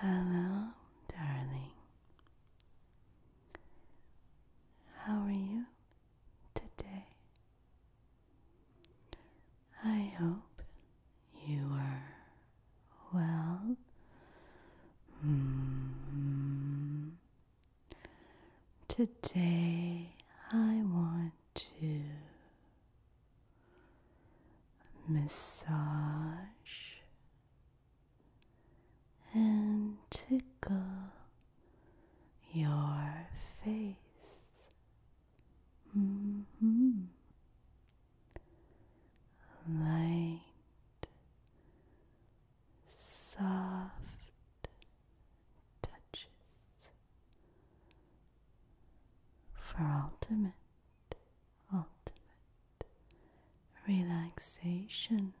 Hello, darling. How are you today? I hope you are well. Mm-hmm. Today I want to massage and tickle your face. Mm-hmm. Light, soft touches for ultimate ultimate relaxation.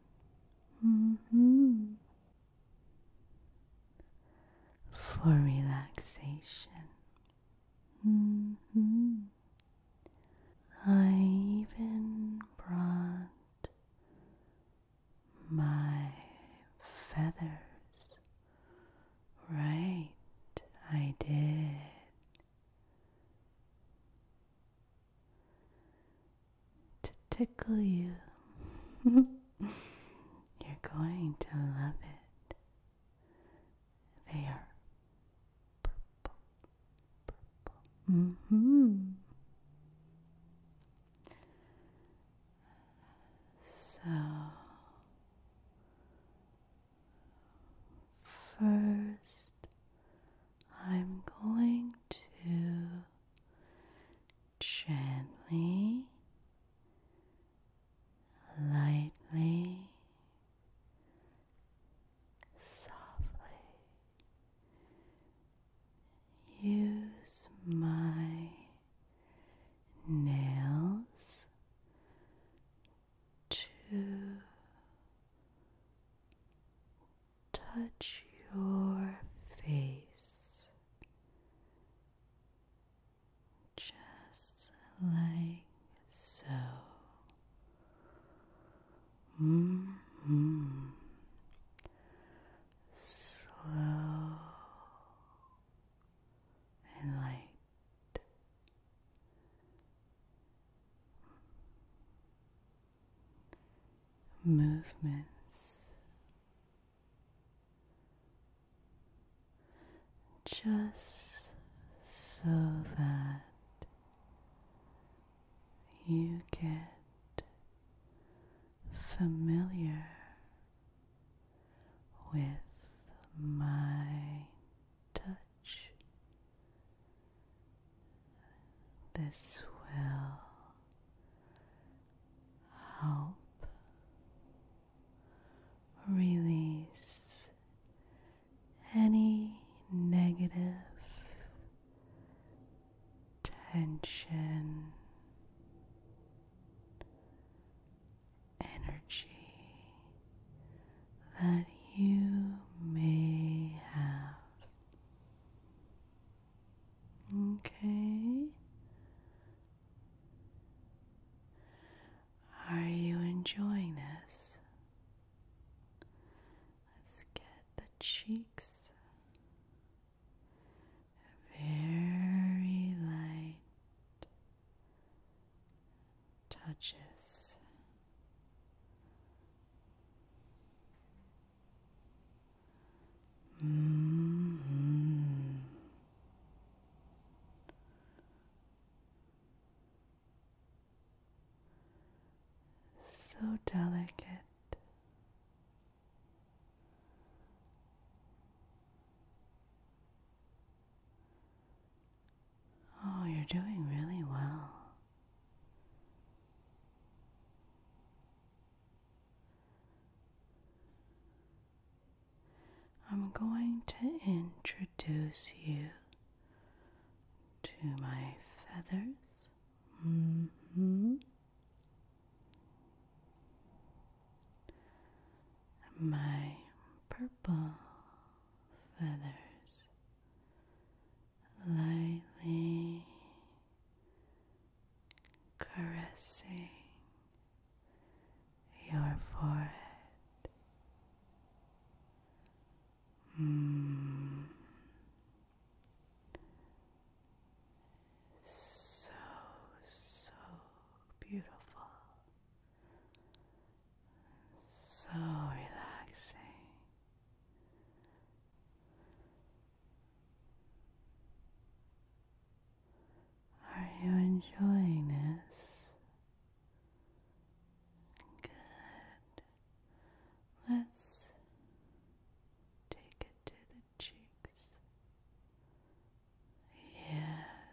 Mm-hmm. For relaxation, mm-hmm. I even brought my feathers. Right, I did to tickle you. You're going to love it. They are purple, purple. hmm So First, I'm going to gently, lightly, softly use my nails to touch your face just like so. Mm-hmm. Slow and light movements, just so that you get familiar with my touch. This will help release any negative tension energy that you may have. Okay. Are you enjoying this? Let's get the cheeks very light touches so delicate. Oh, you're doing really well. I'm going to introduce you to my feathers. Mm hmm my purple feathers lightly caressing your forehead. Mm. So, so beautiful, so relaxing. Are you enjoying this? Good. Let's take it to the cheeks. Yes.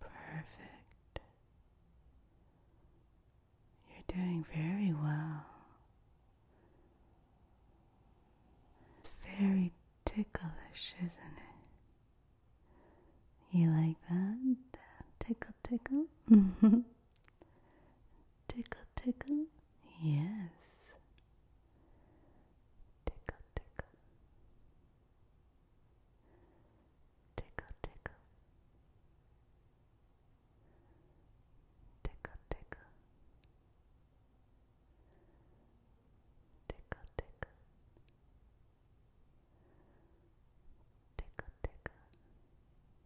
Perfect. You're doing very well. Very ticklish, isn't it? You like that? Tickle, tickle? Tickle, tickle, yes. Tickle, tickle. Tickle, tickle. Tickle, tickle. Tickle, tickle. Tickle, tickle.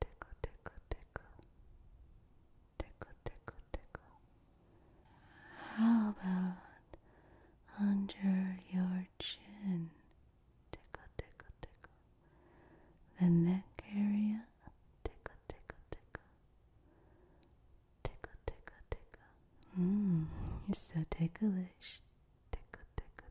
Tickle, tickle, tickle. Tickle, tickle, tickle. How about under your chin? Tickle, tickle, tickle. The neck area? Tickle, tickle, tickle. Tickle, tickle, tickle. Mmm, you're so ticklish. Tickle, tickle,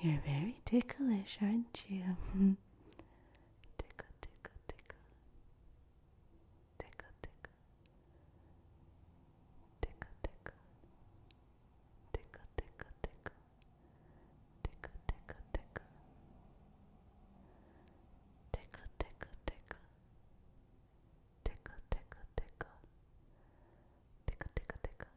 You're very ticklish, aren't you? tickle, tickle, tickle. Tickle, tickle. Tickle, tickle. Tickle, tickle, tickle. Tickle, tickle, tickle. Tickle, tickle, tickle. Tickle, tickle, tickle. Tickle, tickle, tickle.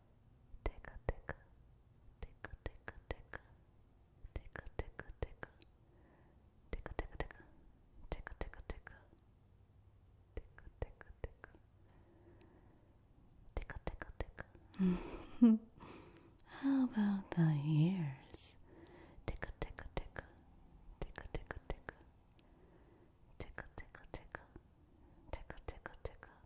tickle, tickle, tickle, tickle, tickle, tickle, tickle, tickle, tickle, tickle, tickle, tickle, tickle, tickle, tickle, tickle, tickle, tickle, tickle, tickle. How about the ears? Tickle, tickle, tickle, tickle, tickle, tickle, tickle, tickle, tickle, tickle, tickle, tickle.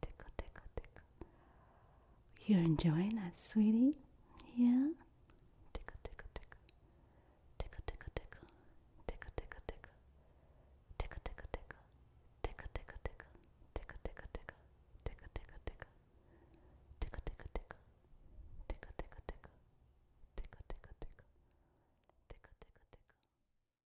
tickle, tickle, tickle. You're enjoying that, sweetie? Yeah? Tickle, tickle, tickle. Tickle, tickle, tickle. Tickle, tickle, tickle. Tickle, tickle, tickle. Tickle, tickle, tickle. Tickle, tickle, tickle. Tickle, tickle, tickle. Tickle, tickle, tickle. Tickle, tickle, tickle. Tickle, tickle, tickle. Tickle, tickle, tickle.